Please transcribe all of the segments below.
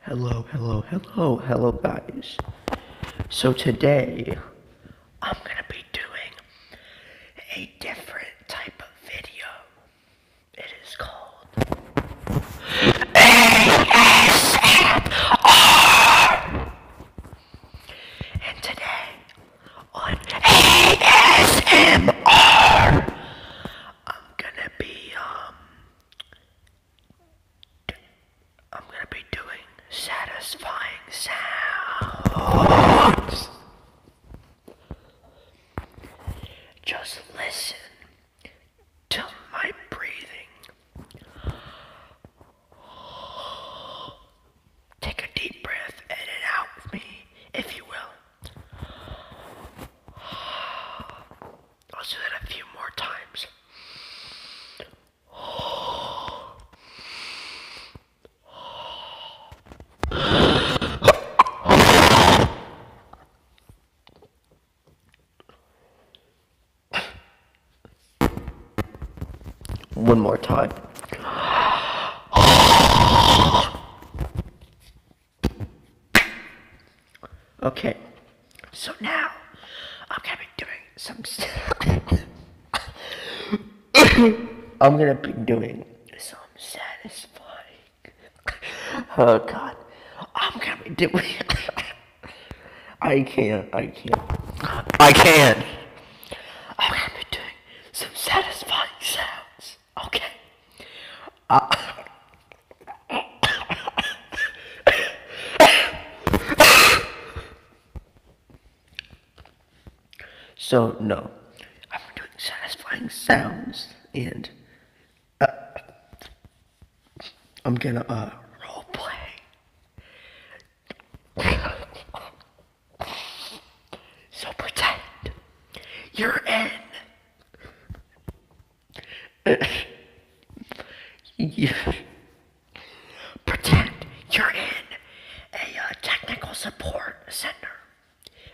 Hello, hello, hello, hello, guys. So today, I'm gonna be doing a different type of video. It is called ASMR. And today, on ASMR, I'm gonna be um I'm gonna be doing satisfying sounds. Just listen to my breathing. Take a deep breath in and out of me, if you will. Let's do that a few more times. One more time. Okay, so now I'm gonna be doing some. I'm gonna be doing some satisfying. oh God, I'm gonna be doing. I can't. I can't. I can't. I'm gonna be doing some satisfying sounds. Okay. Uh, so, no. I'm doing satisfying sounds and uh, I'm gonna uh, role play. so pretend you're in you pretend you're in a uh, technical support center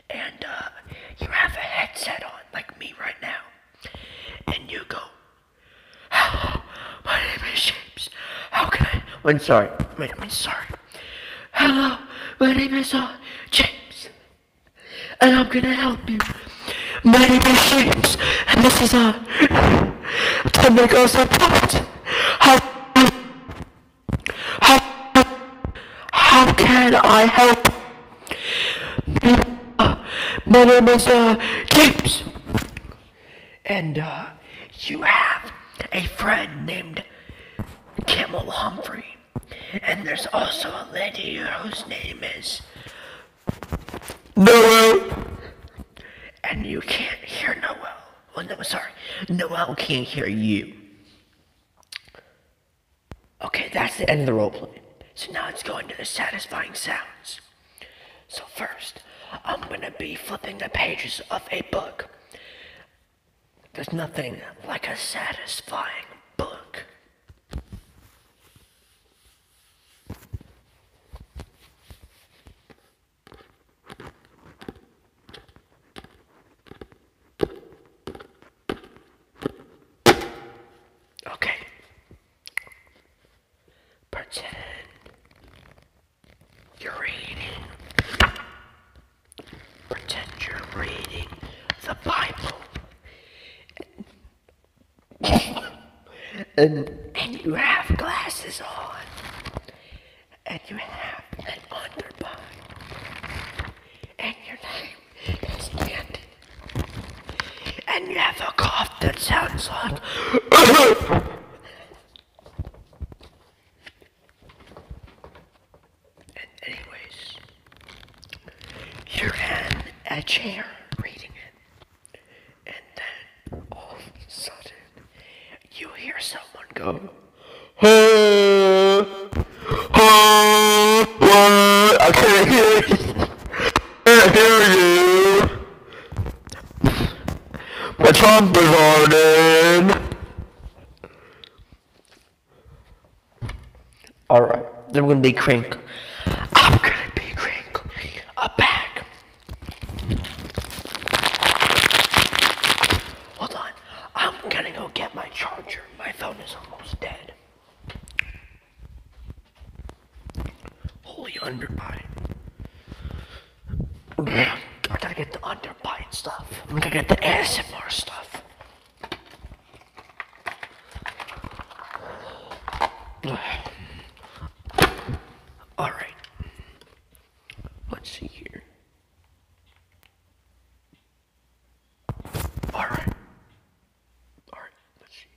and uh, you have a headset on like me right now and you go hello oh, my name is James how can I I'm sorry I'm sorry Hello, my name is uh, James, and I'm gonna help you. My name is James, and this is a uh, to make us apart. How, how, how can I help? Uh, my name is uh, James, and you have a friend named Camel Humphrey. And there's also a lady whose name is Noel. And you can't hear Noel. Oh no, sorry. Noel can't hear you. Okay, that's the end of the role play. So now it's going to the satisfying sounds. So first, I'm gonna be flipping the pages of a book. There's nothing like a satisfying book. Okay. Pretend you're reading Pretend you're reading the Bible. and, and you have glasses on. And you have an underbite. And your name is Andy. And you have a cough that sounds like anyways, you're in a chair reading it. And then all of a sudden, you hear someone go, oh, oh, oh, I can't hear you. My trump is on Alright, I'm gonna be crank. I'm gonna be crank. A bag. Hold on. I'm gonna go get my charger. My phone is almost dead. Holy underbite we got to get the underbite stuff. we got to get the ASMR stuff. Alright. Let's see here. Alright. Alright, let's see.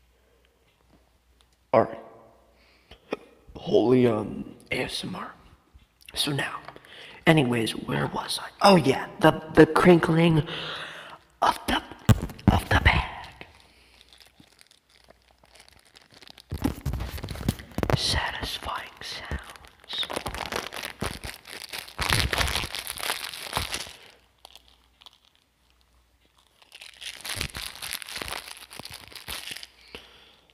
Alright. Holy um ASMR. So now, anyways, where was I? Oh yeah, the the crinkling of the of the bag satisfying sounds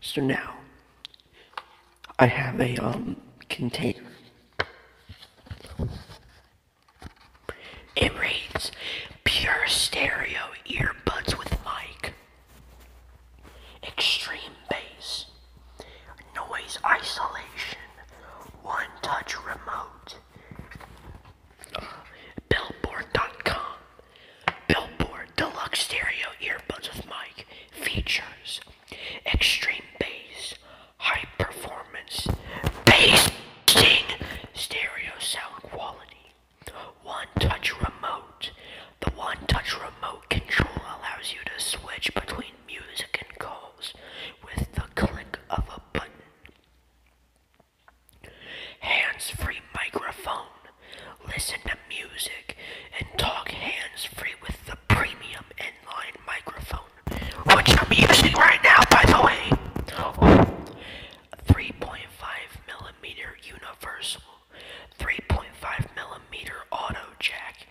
So now I have a um, container. It reads pure stereo earbuds with mic, extreme bass, noise isolation, one touch remote, billboard.com. Billboard Deluxe Stereo Earbuds with Mic features extreme bass, high performance, bass stereo sound quality, one touch remote. The one touch remote control allows you to switch between music and calls with the click of a button. Hands free microphone. Listen to music and talk hands free with the premium inline microphone, which I'm using right now, by the way. 3.5 millimeter universal, 3.5 millimeter auto jack,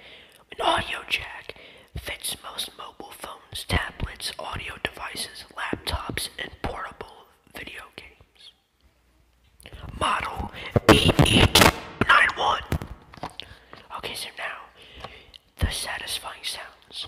an audio jack fits most mobile phones, tablets, audio devices, laptops, and portable video games. Model B891. Okay, so now the satisfying sounds.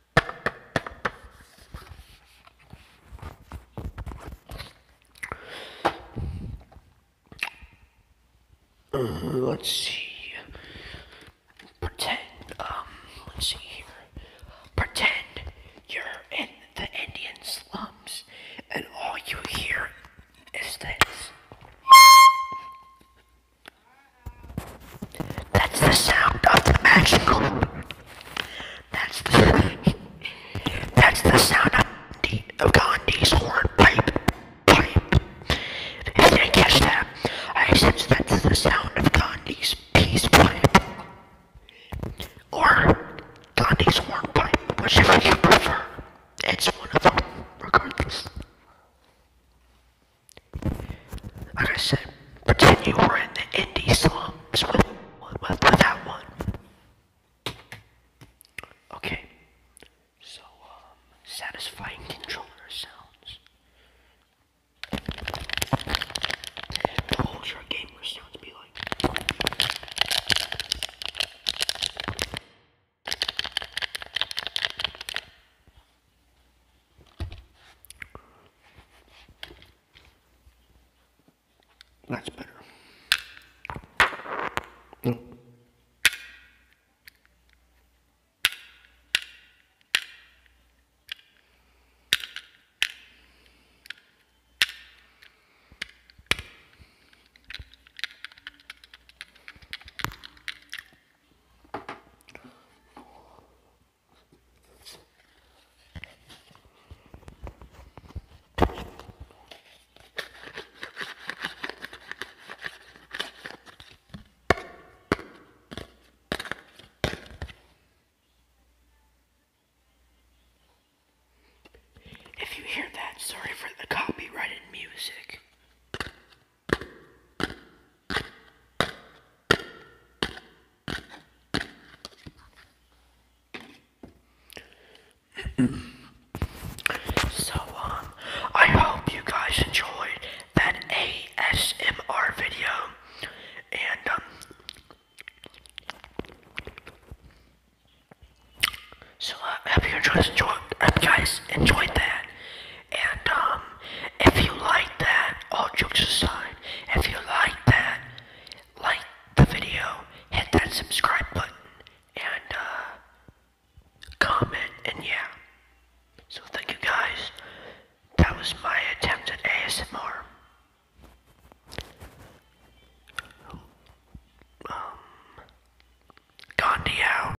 Uh, let's see. Pretend, um, let's see here. Pretend you're in the Indian slums and all you hear is this. That's the sound of the magical. That's the. That's the sound of, the, Gandhi's hornpipe. Pipe. If you catch that, I said that's the sound of Gandhi's peace pipe. Or Gandhi's hornpipe, whichever you prefer. It's one of them, regardless. Like I said, pretend you were in the indie slums with, with, with that one. Okay, so um, satisfying controller sounds. What gamer sounds be like? That's better. If you hear that, sorry for the copyrighted music so, um, I hope you guys enjoyed that ASMR video, and, um, so, uh, I hope you guys enjoyed, hope you guys enjoyed that, and um, if you like that, all jokes aside, if you like that, like the video, hit that subscribe button, and uh, comment, and yeah. So thank you guys. That was my attempt at ASMR. Um, Gandhi